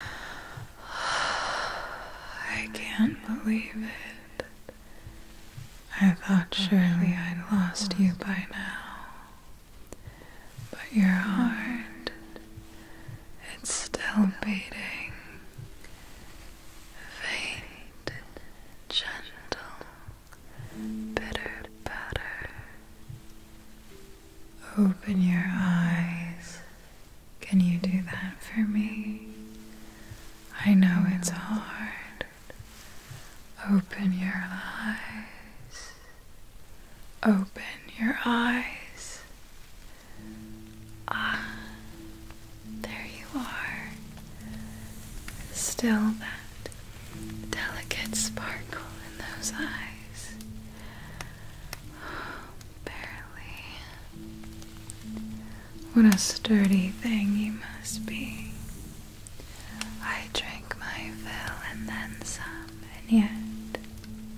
I can't believe it. I thought surely I'd lost you by now. But your heart, it's still beating. Faint, gentle, bitter patter. Open your eyes. Can you do that for me? I know it's hard. Open your eyes. Open your eyes. Ah, there you are. Still that delicate sparkle in those eyes. Barely. What a sturdy thing you must be. I drank my fill and then some, and yet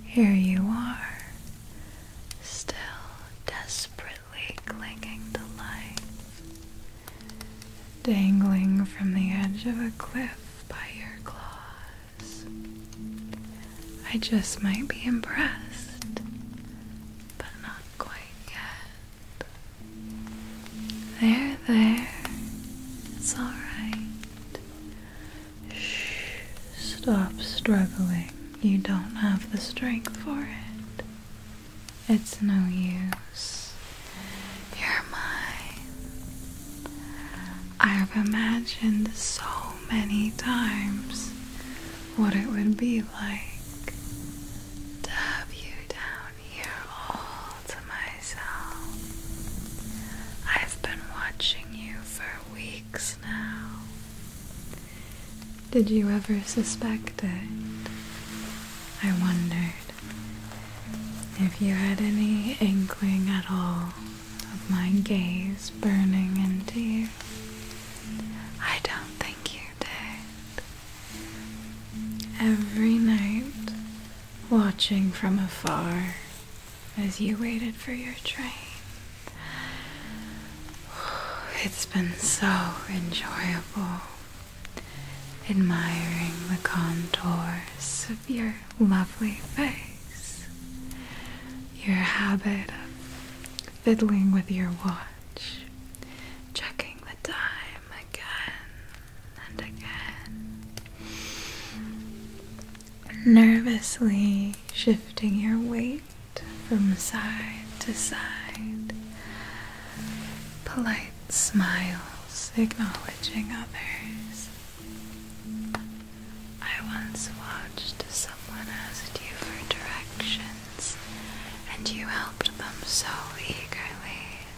here you are, still desperately clinging to life, dangling from the edge of a cliff by your claws. I just might be impressed, but not quite yet. There, there. It's alright. Shh. Stop struggling. You don't have the strength for it. It's no use. You're mine. I've imagined so many times what it would be like to have you down here all to myself. I've been watching you for weeks now. Did you ever suspect it? I wondered if you had any inkling at all of my gaze burning into you. I don't think you did. Every night, watching from afar as you waited for your train. It's been so enjoyable admiring the contours of your lovely face your habit of fiddling with your watch, checking the time again and again, nervously shifting your weight from side to side, polite smiles acknowledging others. I once watched someone ask you for directions, and you helped them so eagerly.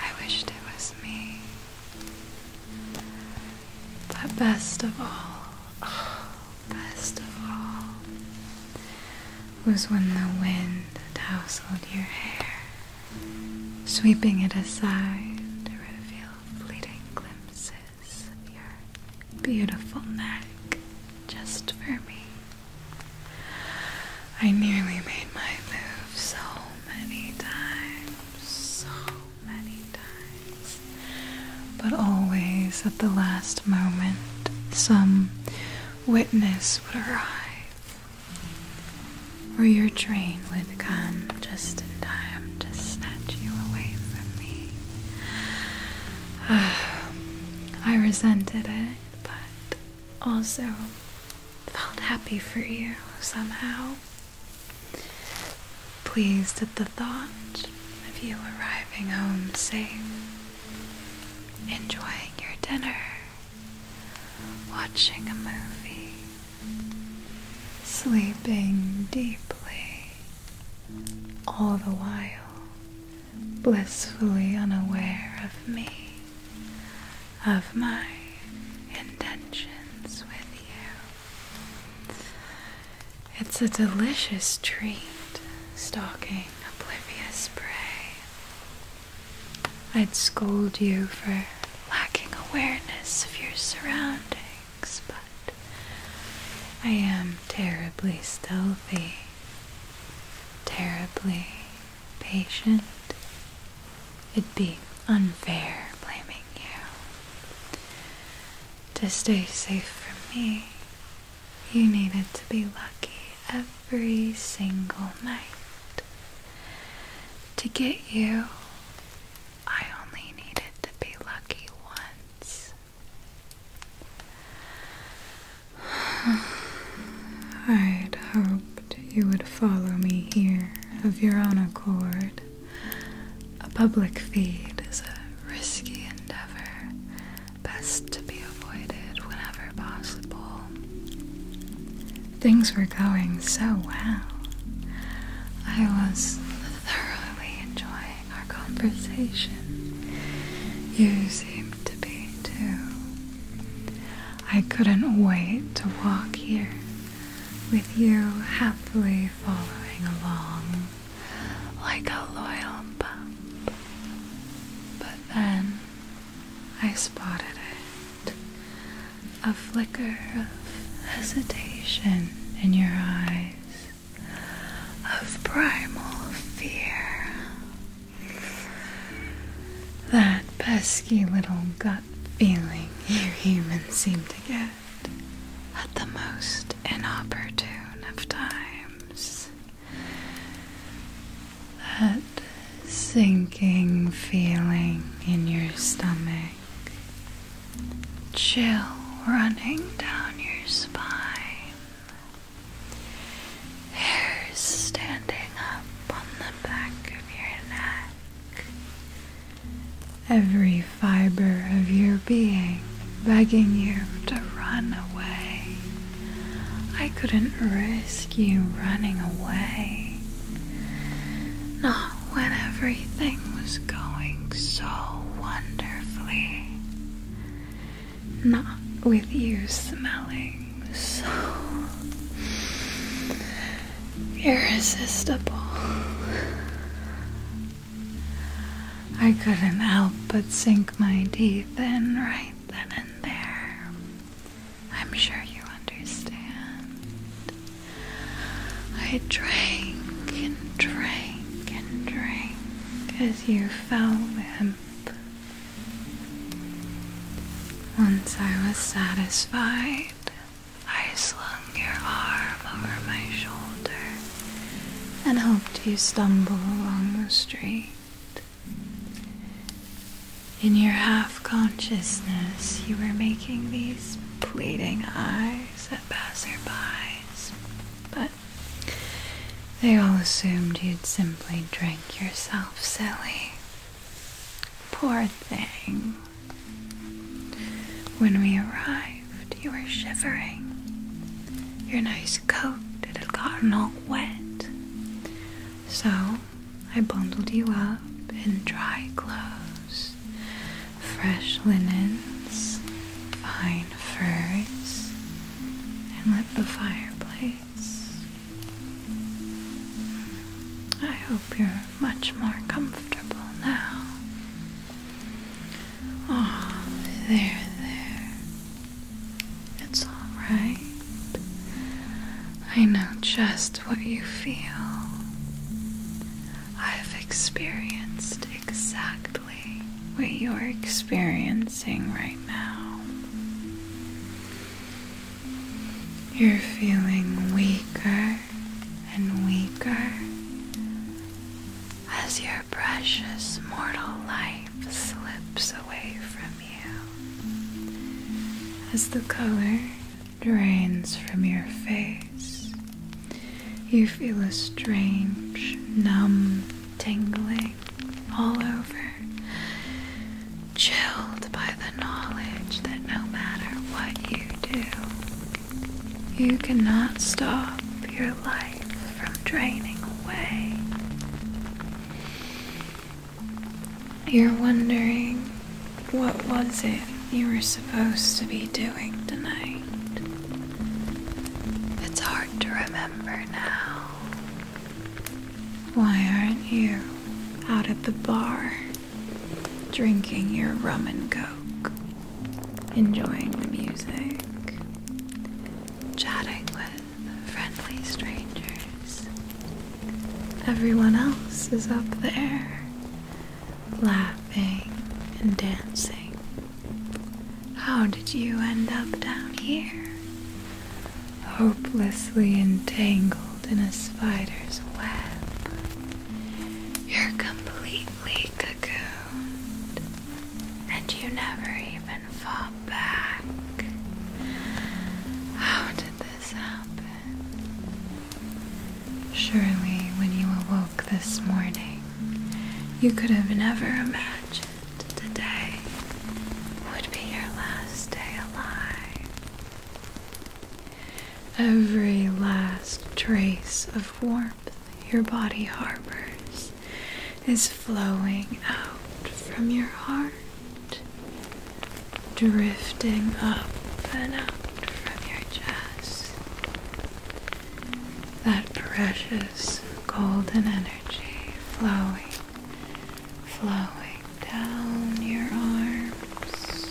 I wished it was me. But best of all, best of all, was when the wind tousled your hair, sweeping it aside to reveal fleeting glimpses your beautiful neck just for me. I nearly made my move so many times, so many times, but always at the last moment, some witness would arrive, or your train would come just in time to snatch you away from me. I resented it, but also felt happy for you somehow. Pleased at the thought of you arriving home safe, enjoying your dinner, watching a movie, sleeping deeply all the while blissfully unaware of me, of my intentions with you. It's a delicious treat, stalking oblivious prey. I'd scold you for lacking awareness of your surroundings but I am terribly stealthy, terribly patient. It'd be unfair blaming you. To stay safe from me, you needed to be lucky every single night. To get you, I only needed to be lucky once. I'd hoped you would follow me here of your own accord. A public feed is a risky endeavor, best to be avoided whenever possible. Things were going so well. I was thoroughly enjoying our conversation. You seem to be too. I couldn't wait to walk here with you happily following along like a loyal pup. But then I spotted it a flicker of hesitation in your eyes of primal fear. That pesky little gut feeling you humans seem to get at the most inopportune of times. That sinking feeling in your stomach chill running down your spine, hairs standing up on the back of your neck. Every fiber of your being begging you to run away. I couldn't risk you running away. Not when everything was going so wonderfully. Not with you smelling so irresistible. I couldn't help but sink my teeth in right then and there. I'm sure you understand. I drank and drank and drank 'Cause you fell limp. Once I was satisfied, I slung your arm over my shoulder and hoped you stumble along the street. In your half consciousness, you were making these pleading eyes at passerbys, but they all assumed you'd simply drank yourself silly. Poor thing. When we arrived, you were shivering. Your nice coat it had gotten all wet. So I bundled you up in dry clothes, fresh linens, fine furs, and lit the fireplace. I hope you're much more comfortable now. Oh, there, there. It's alright. I know just what you feel. I've experienced it exactly what you're experiencing right now. You're feeling weaker and weaker as your precious mortal life slips away from you. As the color drains from your face, you feel a strange, numb tingling all over, chilled by the knowledge that no matter what you do, you cannot stop your life from draining away. You're wondering what was it you were supposed to be doing tonight? It's hard to remember now. Why aren't you out at the bar drinking your rum and coke, enjoying the music, chatting with friendly strangers? Everyone else is up there laughing and dancing how did you end up down here? Hopelessly entangled in a spider's web. You're completely cocooned, and you never even fought back. How did this happen? Surely, when you awoke this morning, you could have never imagined today would be your last day alive. Every last trace of warmth your body harbors is flowing out from your heart, drifting up and out from your chest, that precious golden energy flowing, flowing down your arms,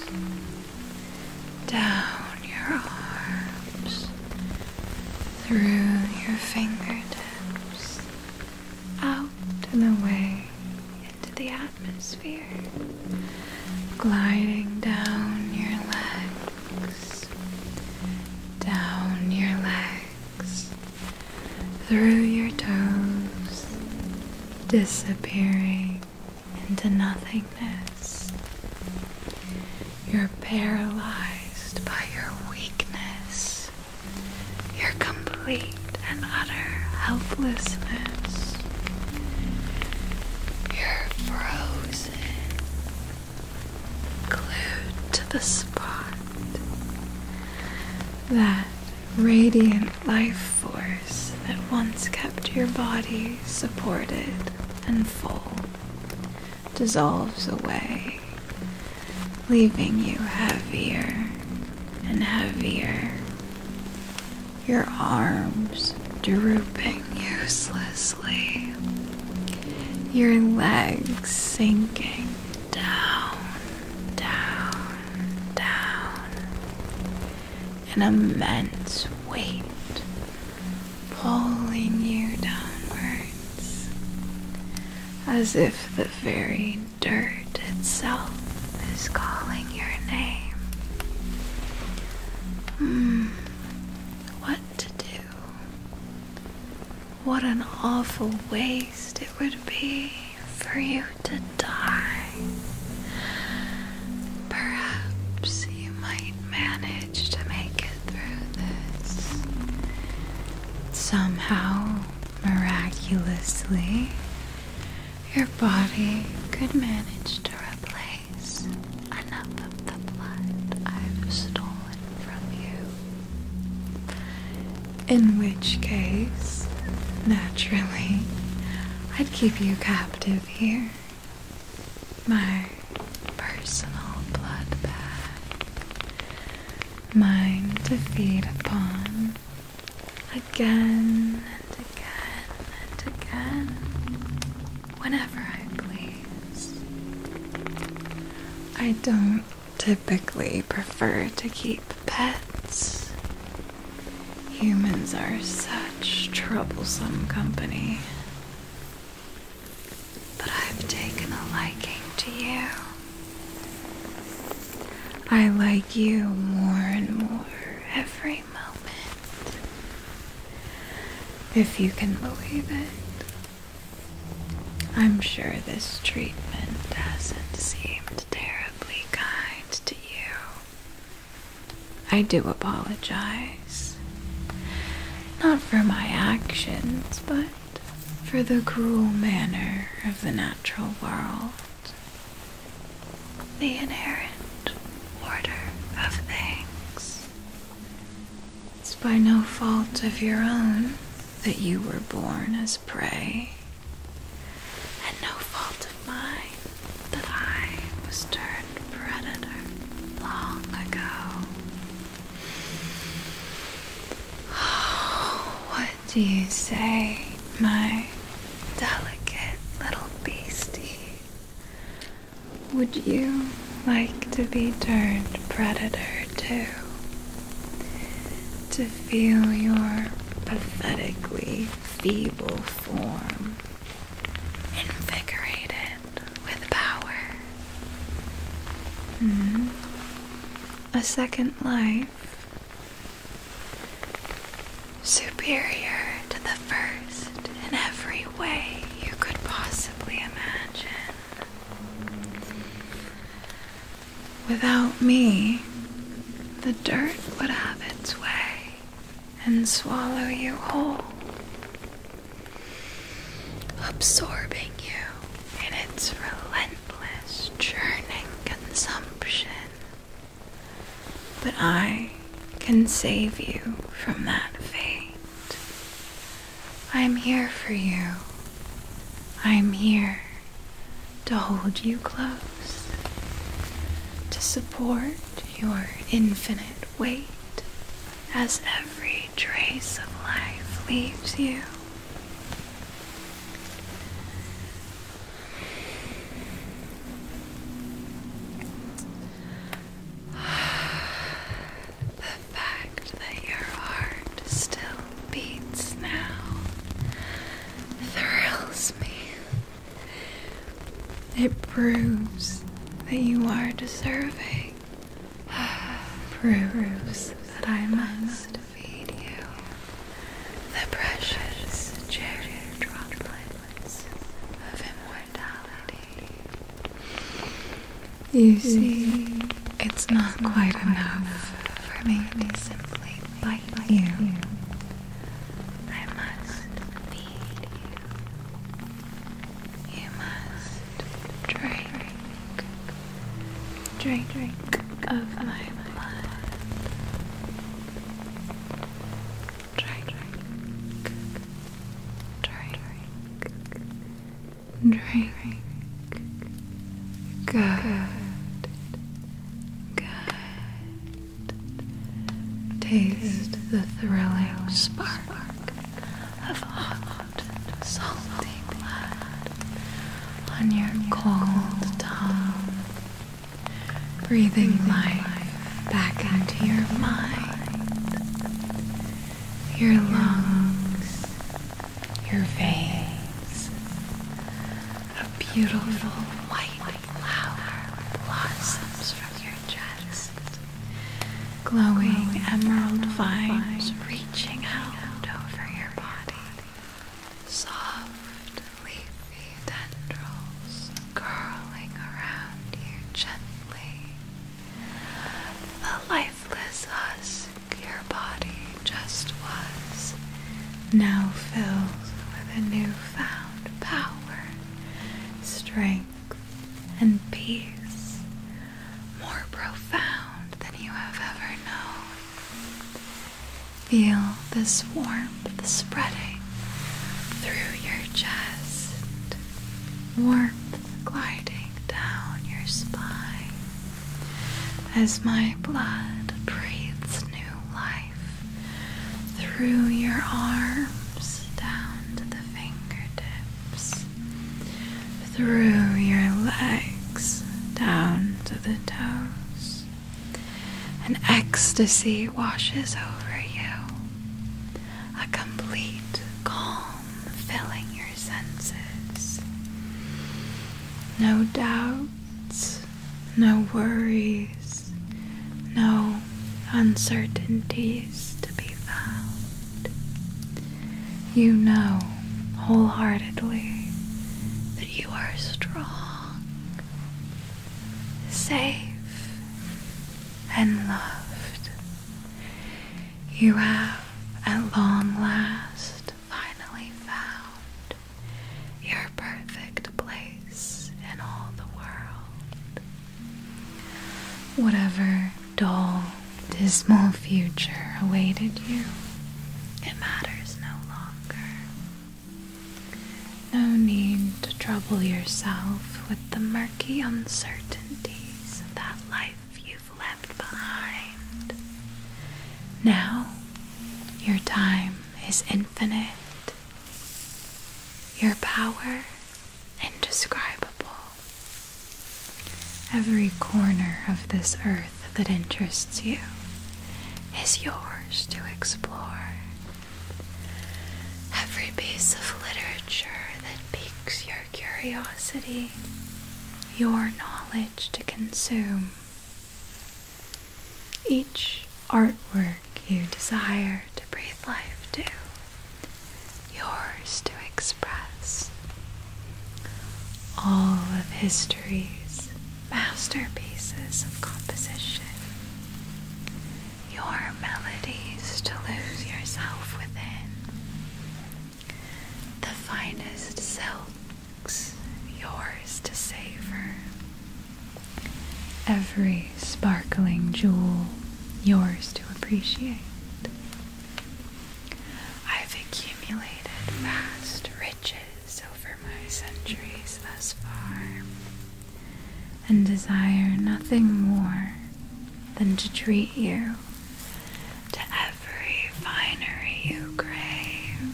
down your arms, through your fingertips, out and away into the atmosphere, gliding down your legs, down your legs through your toes, disappearing into nothingness. You're paralyzed by your weakness, your complete and utter helplessness. You're frozen glued to the spot. That radiant life force that once kept your body supported and full dissolves away, leaving you heavier and heavier. Your arms drooping uselessly, your legs sinking down, down, down. An immense weight pulling you downwards, as if the very dirt itself is calling your name. Hmm, what to do? What an awful waste it would be for you to die. Perhaps you might manage to make it through this. Somehow, miraculously, your body could manage to replace enough of the blood I've stolen from you in which case, naturally, I'd keep you captive here. My personal blood bag. Mine to feed upon again and again and again whenever I please. I don't typically prefer to keep pets. Humans are such troublesome company. But I've taken a liking to you. I like you more and more every moment. If you can believe it. I'm sure this treatment does not seem terribly kind to you. I do apologize. Not for my actions, but for the cruel manner of the natural world. The inherent order of things. It's by no fault of your own that you were born as prey, and no fault of mine that I was turned predator long ago. what do you say, my delicate little beastie? Would you like to be turned predator? here To feel your pathetically feeble form invigorated with power. Hmm? A second life. Superior to the first in every way you could possibly imagine. Without me, the dirt would have its way and swallow you whole, absorbing you in its relentless, churning consumption. But I can save you from that fate. I'm here for you. I'm here to hold you close, to support your infinite weight as every trace of life leaves you the fact that your heart still beats now thrills me. It proves that you are deserving. proves that I must feed you the precious cherished droplets of immortality. You see, it's not quite enough for me to simply bite you. I must feed you. You must drink, drink, drink of my blood. Drink, drink, drink, Drink. Good. Good. Taste the thrilling spark of hot, salty blood on your cold tongue. Breathing life back into your mind. Your lungs your veins. A beautiful white flower blossoms from your chest. Glowing emerald vines reaching out over your body. Soft, leafy tendrils curling around you gently. The light lifeless husk your body just was now fills with a newfound power, strength, and peace more profound than you have ever known. Feel this warmth spreading through your chest, warmth gliding down your spine, as my blood breathes new life through your arms down to the fingertips, through your legs down to the toes. An ecstasy washes over you, a complete calm filling your senses. No doubt no worries, no uncertainties to be found. You know wholeheartedly that you are strong, safe, and loved. You have at long last finally found your perfect place in all the world. Whatever dull, dismal future awaited you, it matters no longer. No need to trouble yourself with the murky uncertainties of that life you've left behind. Now your time is infinite, your power indescribable. Every corner of this earth that interests you is yours to explore. Every piece of literature that piques your curiosity, your knowledge to consume each artwork you desire to breathe life to, yours to express. All of history's masterpieces of composition, your melodies to lose yourself within, the finest silk yours to savor. Every sparkling jewel yours to appreciate. I've accumulated vast riches over my centuries thus far, and desire nothing more than to treat you to every finery you crave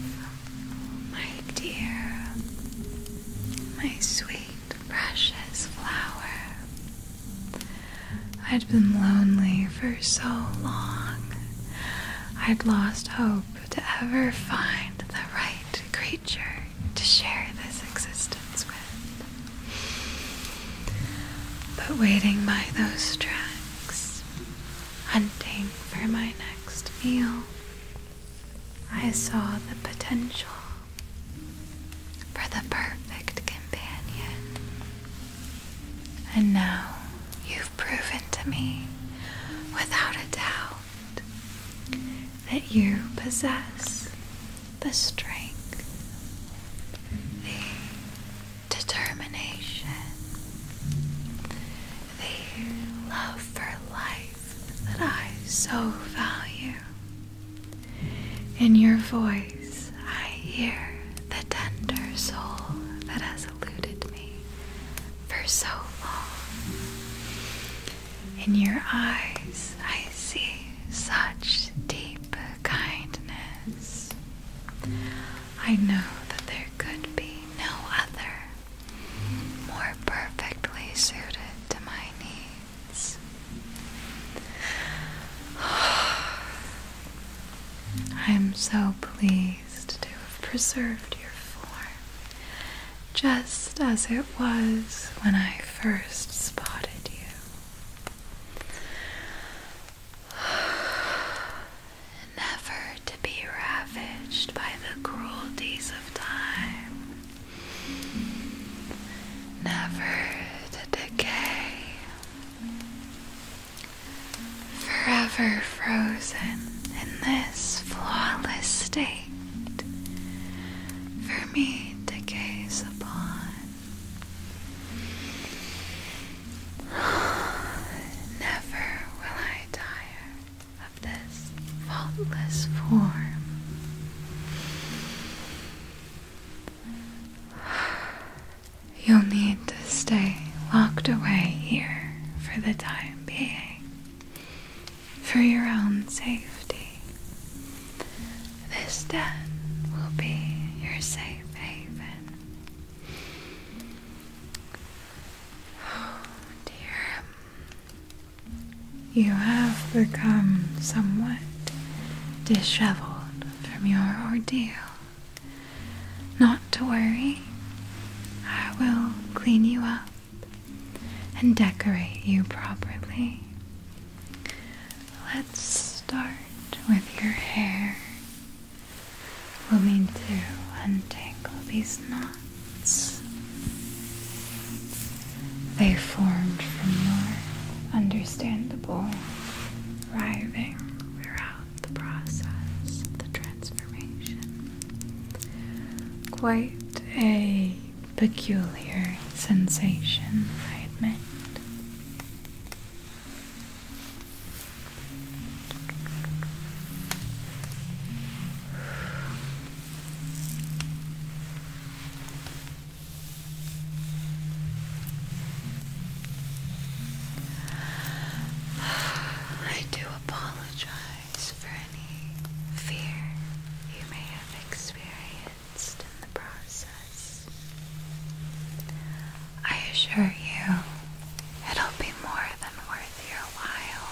my dear, my sweet, precious flower. I'd been lonely for so long. I'd lost hope to ever find the right creature to share this existence with. But waiting by those tracks, hunting for my next meal, I saw the potential for the perfect companion. And now you've proven to me, without a doubt, that you possess the strength, the determination, the love for life that I so value. In your voice, I hear the tender soul that has eluded me for so long. In your eyes, I see such deep kindness. I know that there could be no other more perfectly suited to my needs. I'm so pleased to have preserved your form just as it was when I first spotted you. never to be ravaged by the cruelties of time, never to decay, forever frozen in this flawless state for me to gaze upon. Never will I tire of this faultless form. You'll need to stay locked away here for the time being, for your own safety. This den will be your safe haven. dear. You have become somewhat disheveled from your ordeal. Not to worry, I will clean you up and decorate you properly. Let's start with your hair will need to untangle these knots. They formed from your understandable writhing throughout the process of the transformation. Quite a peculiar sensation, I admit. I do apologize for any fear you may have experienced in the process. I assure you, it'll be more than worth your while.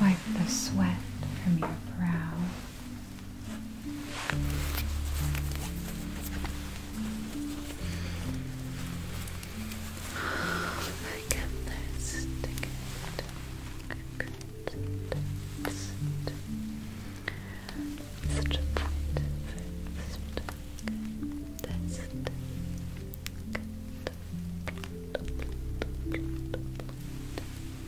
Wipe the sweat from your brow. Oh my goodness.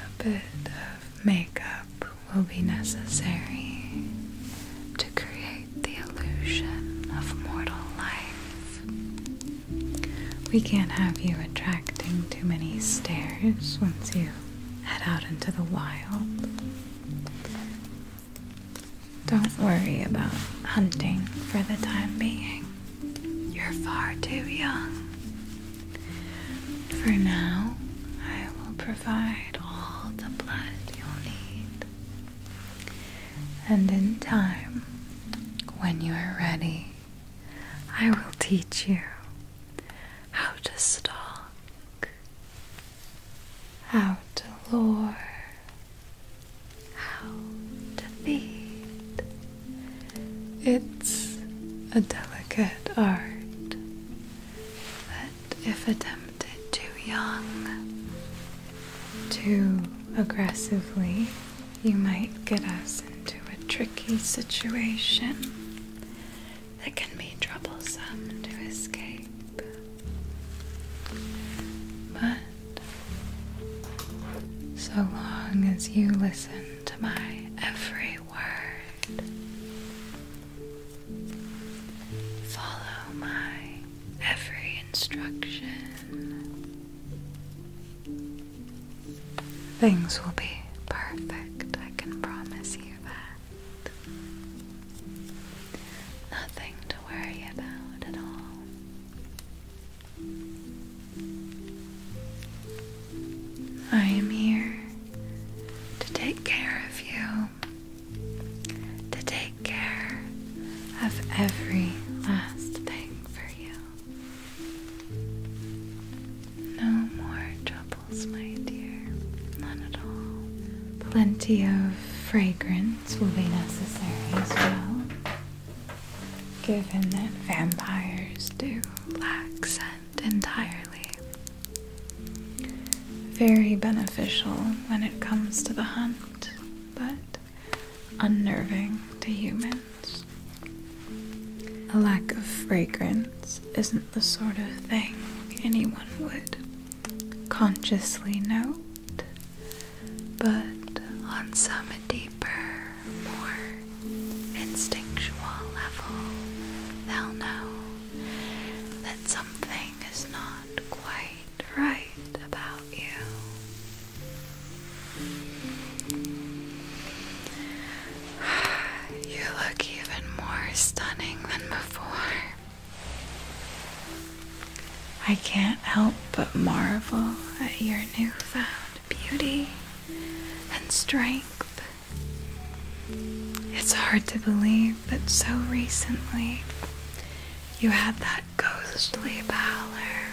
A bit of makeup will be necessary to create the illusion of mortal life. We can't have you attracting too many stares once you head out into the wild. Don't worry about hunting for the time being. You're far too young. For now, I will provide all the blood you'll need. And in time, when you are ready, I will teach you how to stalk, how to lure, how to feed. It's a delicate art that, if attempted too young, too aggressively, you might get us into a tricky situation that can be troublesome to escape. But so long as you listen to my every word, follow my every instruction, things will be perfect. I can promise you that. Nothing to worry about at all. I am here to take care of you, to take care of every last thing for you. No more troubles, my dear, none at all. Plenty of fragrance will be necessary as well, given that vampires do lack scent entirely. Very beneficial when it comes to the hunt, but unnerving to humans. A lack of fragrance isn't the sort of thing anyone would consciously note but on some deeper, more instinctual level, they'll know that something is not quite right about you. You look even more stunning than before. I can't help but marvel at your newfound beauty and strength. It's hard to believe that so recently you had that ghostly pallor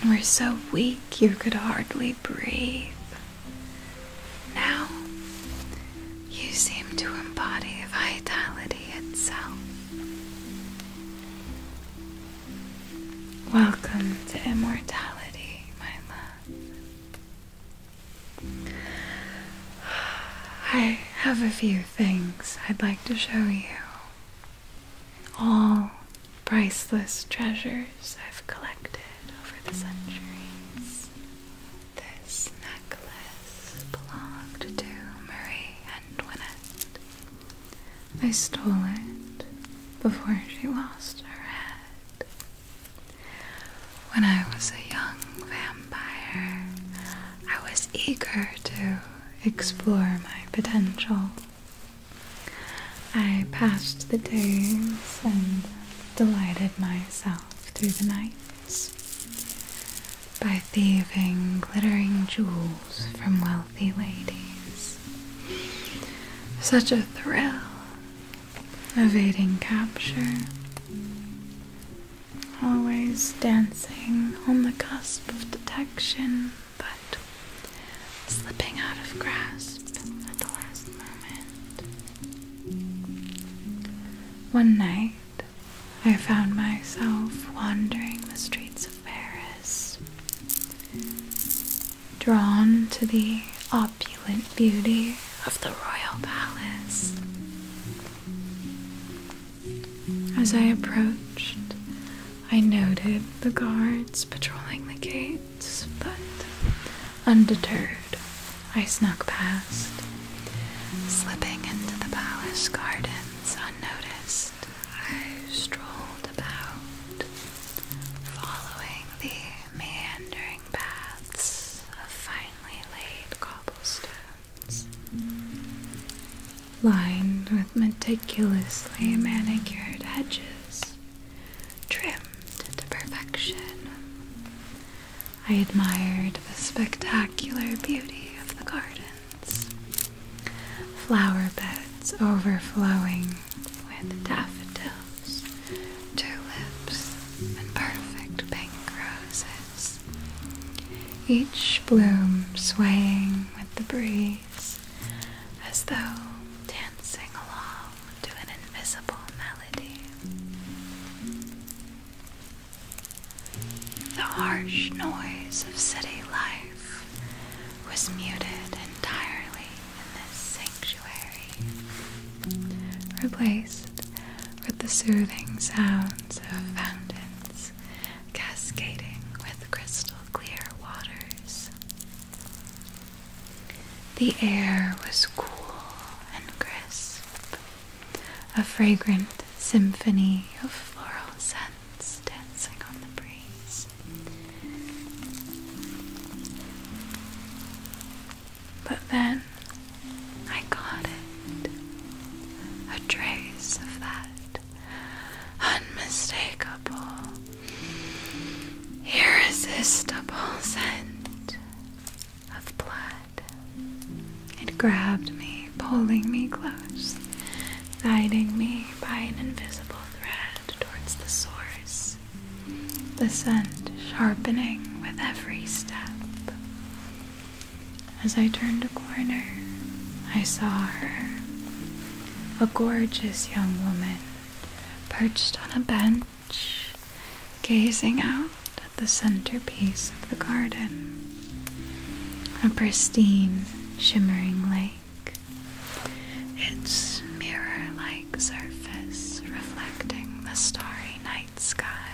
and were so weak you could hardly breathe. Now you seem to embody vitality itself. Welcome to immortality, my love. I have a few things I'd like to show you. All priceless treasures I've collected over the centuries. This necklace belonged to Marie Antoinette. I stole it before she lost her head. When I was a young vampire, I was eager to explore my potential. I passed the days and delighted myself through the night by thieving glittering jewels from wealthy ladies. Such a thrill, evading capture, always dancing on the cusp of detection, but slipping out of grasp at the last moment. One night, I found myself wandering the streets of Paris, drawn to the opulent beauty of the royal palace. As I approached, I noted the guards patrolling the gates, but undeterred, I snuck past, slipping into the palace gardens Noticed, I strolled about, following the meandering paths of finely laid cobblestones, lined with meticulously manicured hedges, trimmed to perfection. I admired the spectacular beauty of the garden flower beds overflowing with daffodils, tulips, and perfect pink roses, each bloom swaying with the breeze as though dancing along to an invisible melody. The harsh noise of city life was muted entirely in this sanctuary, replaced with the soothing sounds of fountains cascading with crystal clear waters. The air was cool and crisp, a fragrant symphony of floral scents dancing on the breeze. But then I got it. A trace of that unmistakable, irresistible scent of blood. It grabbed me pulling me close, guiding me by an invisible thread towards the source, the scent sharpening with every step. As I turned a corner, I saw her, a gorgeous young woman perched on a bench, gazing out at the centerpiece of the garden a pristine, shimmering lake, its mirror like surface reflecting the starry night sky,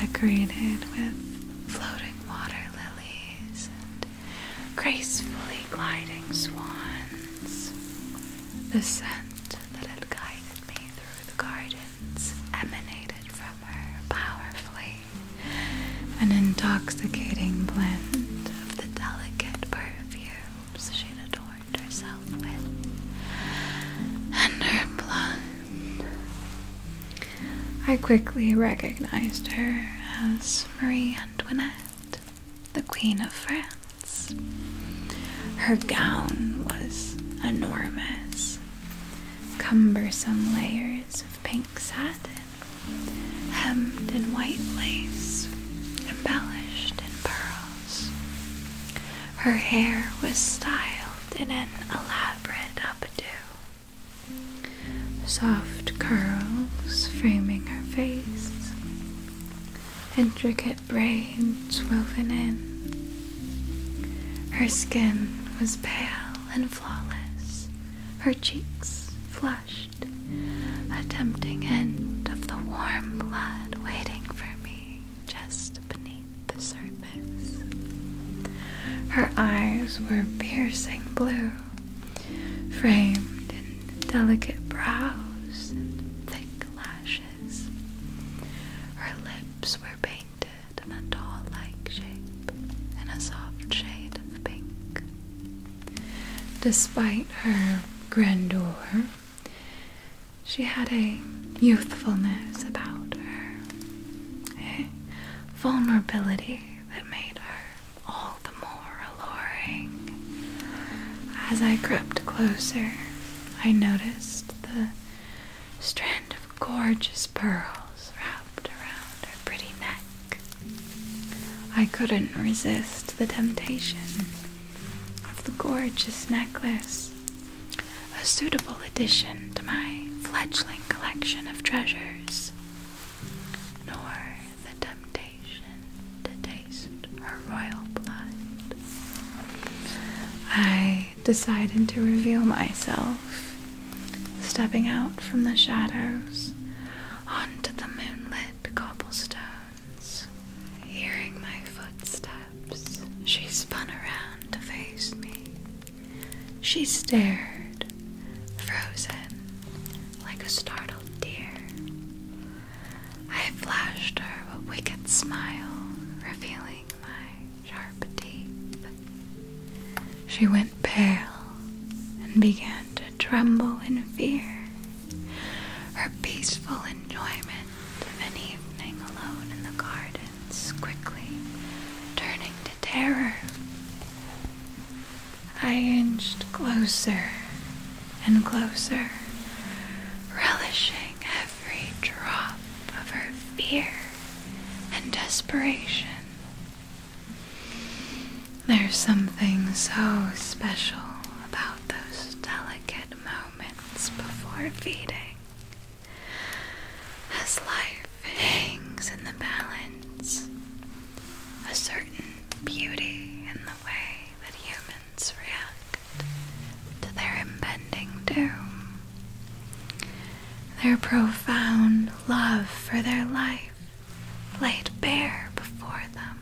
decorated with floating water lilies and gracefully gliding swans. The scent that had guided me through the garden words emanated from her powerfully, an intoxicating blend of the delicate perfumes she'd adorned herself with, and her blood. I quickly recognized her as Marie Antoinette, the Queen of France. Her gown was enormous, cumbersome layers of pink satin, hemmed in white lace, embellished in pearls. Her hair was styled in an elaborate updo, soft curls framing her face, intricate braids woven in. Her skin was pale and flawless, her cheeks flushed, a tempting hint of the warm blood waiting for me just beneath the surface. Her eyes were piercing blue, framed in delicate brows and thick lashes. Her lips were painted in a doll-like shape in a soft shade of pink. Despite her grandeur, she had a youthfulness about her, a vulnerability that made her all the more alluring. As I crept closer, I noticed the strand gorgeous pearls wrapped around her pretty neck. I couldn't resist the temptation of the gorgeous necklace, a suitable addition to my fledgling collection of treasures, nor the temptation to taste her royal blood. I decided to reveal myself, stepping out from the shadows onto the moonlit cobblestones. Hearing my footsteps, she spun around to face me. She stared, frozen, like a startled deer. I flashed her a wicked smile, revealing my sharp teeth. She went pale and began to tremble in fear. Her peaceful enjoyment of an evening alone in the gardens quickly turning to terror. I inched closer and closer, relishing every drop of her fear and desperation. There's something so special about those delicate moments before feeding. As life hangs in the balance, a certain beauty in the way that humans react to their impending doom their profound love for their life laid bare before them,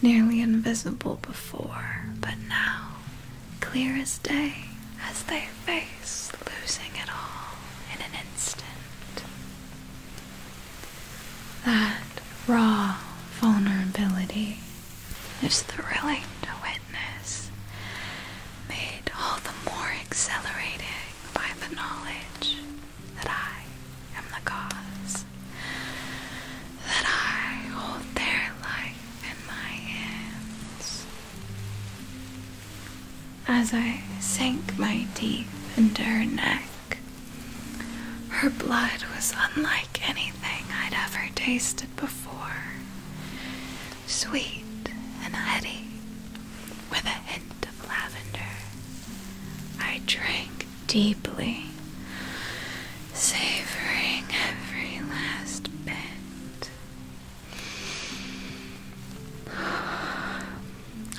nearly invisible before, but now clear as day as they face losing it all in an instant. That raw vulnerability is thrilling to witness, made all the more exhilarating by the knowledge that I am the cause, that I hold their life in my hands. As I sank my teeth into her neck, her blood was unlike anything I'd ever tasted before. Sweet and heady, with a hint of lavender. I drank deeply, savoring every last bit.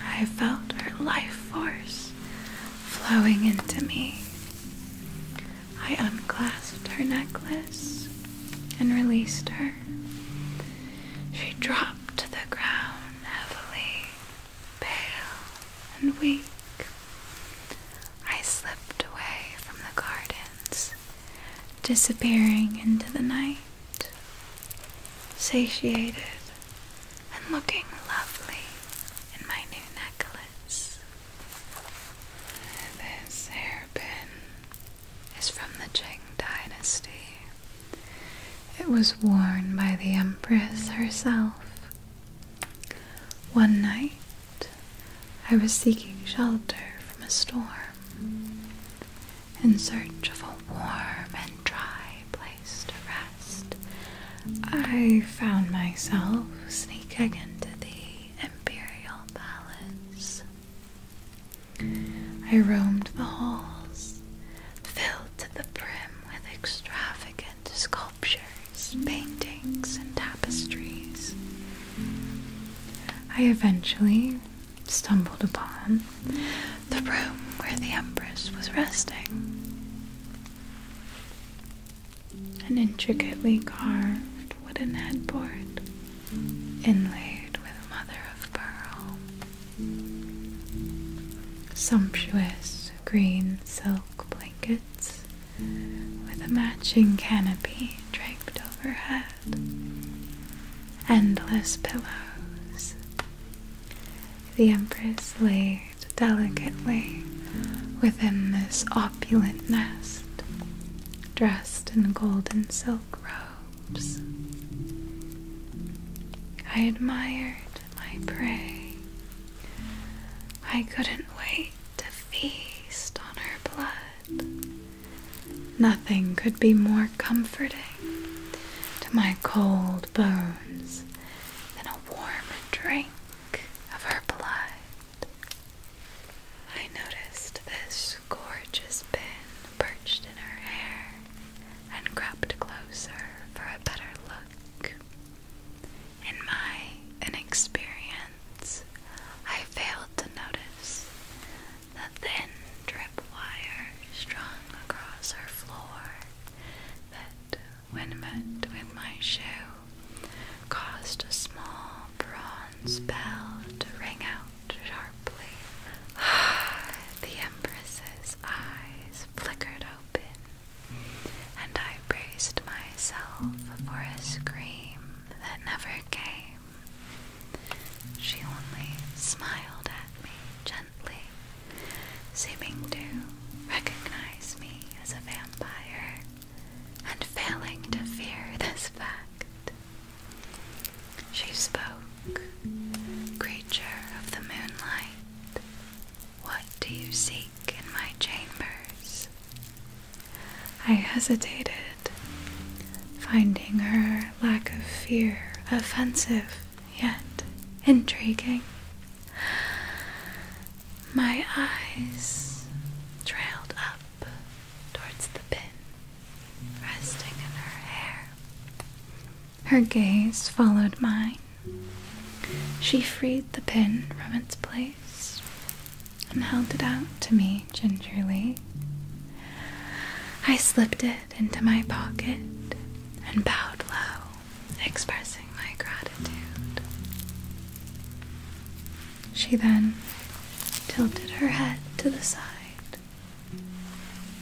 I felt her life force flowing into me. I unclasped her necklace and released her. She dropped to the ground heavily, pale and weak. I slipped away from the gardens, disappearing into the night, satiated and looking lovely in my new necklace. This hairpin is from the Qing dynasty. It was worn by the Empress herself. One night, I was seeking shelter from a storm in search of a warm and dry place to rest. I found myself sneaking into the imperial palace. I roamed the halls, filled to the brim with extravagant sculptures, paintings, and tapestries. I eventually stumbled upon the room where the Empress was resting. An intricately carved wooden headboard inlaid with mother of pearl Sumptuous green silk blankets with a matching canopy draped overhead, endless pillows. The Empress laid delicately within this opulent nest, dressed in golden silk robes. I admired my prey. I couldn't wait to feast on her blood. Nothing could be more comforting to my cold bones than a warm drink of her blood. I noticed this gorgeous pin perched in her hair and crept closer for a better look. In my inexperience, I failed to notice the thin drip wire strung across our floor that, when met with my shoe, caused a small bronze bell to ring out sharply. the Empress's eyes flickered open, and I braced myself for a scream that never came. She only smiled at me gently, seeming to recognize me as a vampire and failing to fear this fact. She spoke, Creature of the moonlight, what do you seek in my chambers? I hesitated, finding her lack of fear offensive yet intriguing. My eyes trailed up towards the pin resting in her hair. Her gaze followed mine. She freed the pin from its place and held it out to me gingerly. I slipped it into my pocket and bowed low, expressing my gratitude. She then tilted her head to the side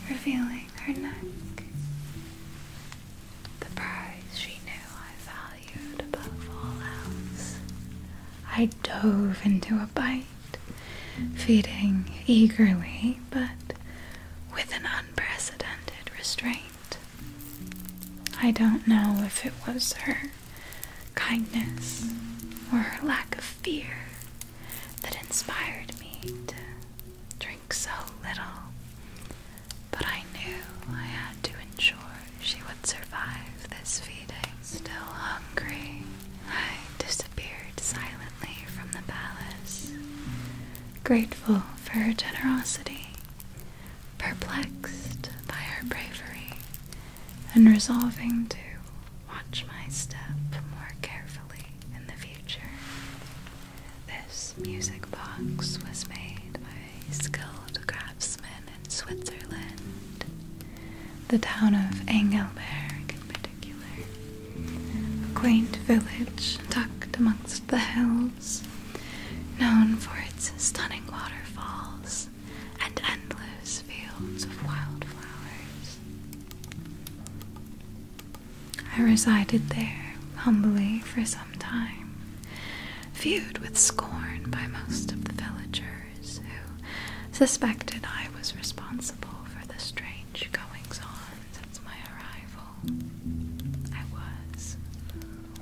revealing her neck, the prize she knew I valued above all else. I dove into a bite, feeding eagerly but with an unprecedented restraint. I don't know if it was her kindness or her lack of fear that inspired me to drink so little, but I knew I had to ensure she would survive this feeding. Still hungry, I disappeared silently from the palace, grateful for her generosity, perplexed by her bravery, and resolving to watch my step more carefully in the future. This music box was made by skilled craftsmen in Switzerland, the town of Engelberg in particular, a quaint village tucked amongst the hills, known for its stunning waterfalls and endless fields of wildflowers. I resided there humbly for some time, viewed with scorn by most of the villagers who suspected I was responsible for the strange goings on since my arrival. I was.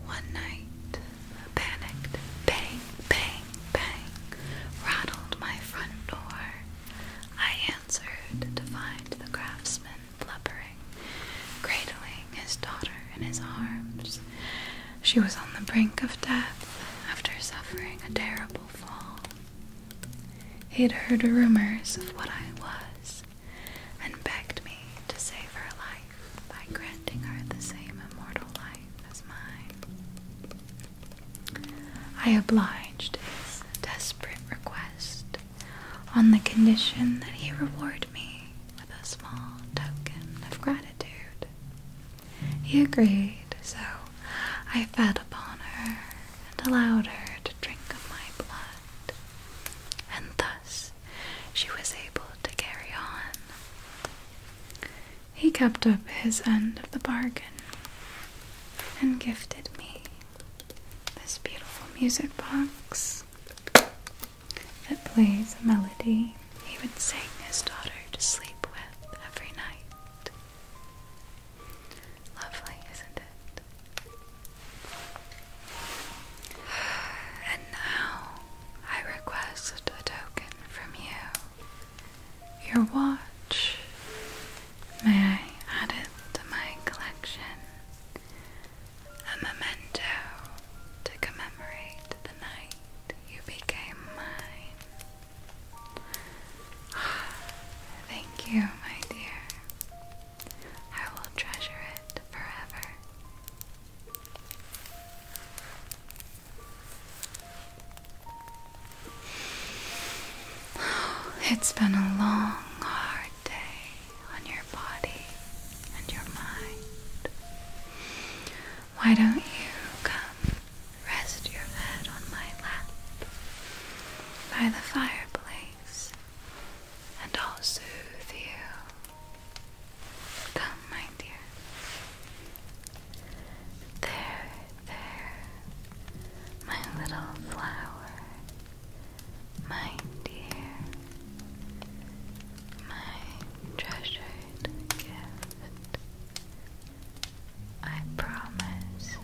One night, panicked bang, bang, bang rattled my front door. I answered to find the craftsman blubbering, cradling his daughter in his arms. She was on the brink of death after suffering a terrible fall. He'd heard rumors of what I was, and begged me to save her life by granting her the same immortal life as mine. I obliged his desperate request on the condition that he reward me with a small token of gratitude. He agreed, so I fed upon her and allowed her to drink of my blood, and thus she was able to carry on. He kept up his end of the bargain and gifted me this beautiful music box that plays a melody he would sing his daughter to sleep with every night. Lovely, isn't it? And now I request a token from you. Your watch. May I add it to my collection? a memento to commemorate the night you became mine. Thank you, my dear. I will treasure it forever. It's been a long, hard day on your body and your mind. Why don't you come rest your head on my lap by the fireplace and I'll soothe you? Come, my dear. There, there, my little flower my dear, my treasured gift. I promise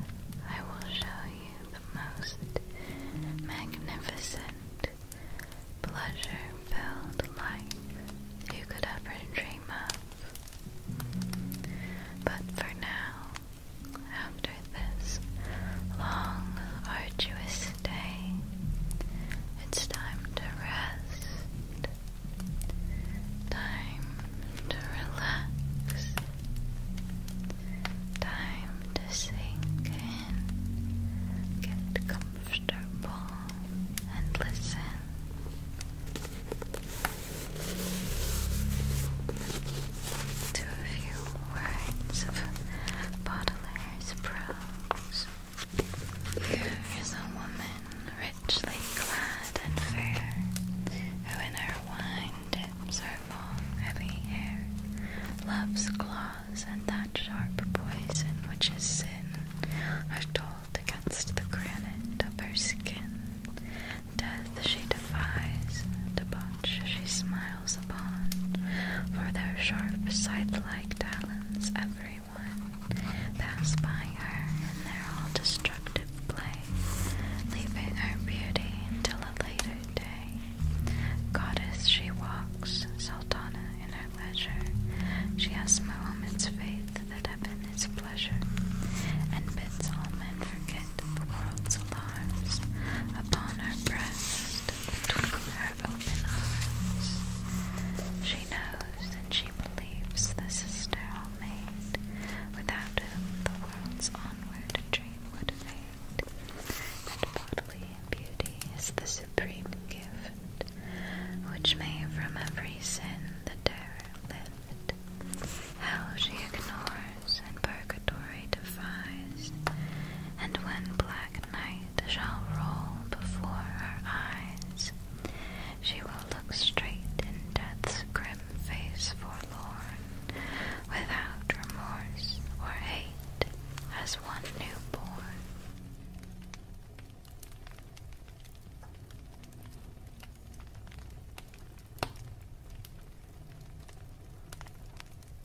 I will show you the most magnificent, pleasure filled life you could ever dream of. But for now, after this long, arduous day, it's time to rest, time to relax, time to sink in, get comfortable, and listen to a few words of Baudelaire's prose. Here is a woman richly clad and fair, who in her wine dips her long, heavy hair, love's claws and that sharp poison which is sin are told against the granite of her skin. Death she defies, debauch she smiles smiles upon, for their sharp scythe-like talons everyone pass by her in their all-destructive play, leaving her beauty until a later day. Goddess she walks, Sultana in her leisure, she has woman's faith that heaven is pleasure, and bids all men forget weight world's alarms upon her breast and twinkle her open eyes. She knows and she believes the sister all made, without whom the world's onward dream would fade. And bodily beauty is the supreme gift, which may from every sin the terror lift. How she ignored and purgatory defies, and when black night shall roll before her eyes, she will look straight in death's grim face forlorn, without remorse or hate, as one new born.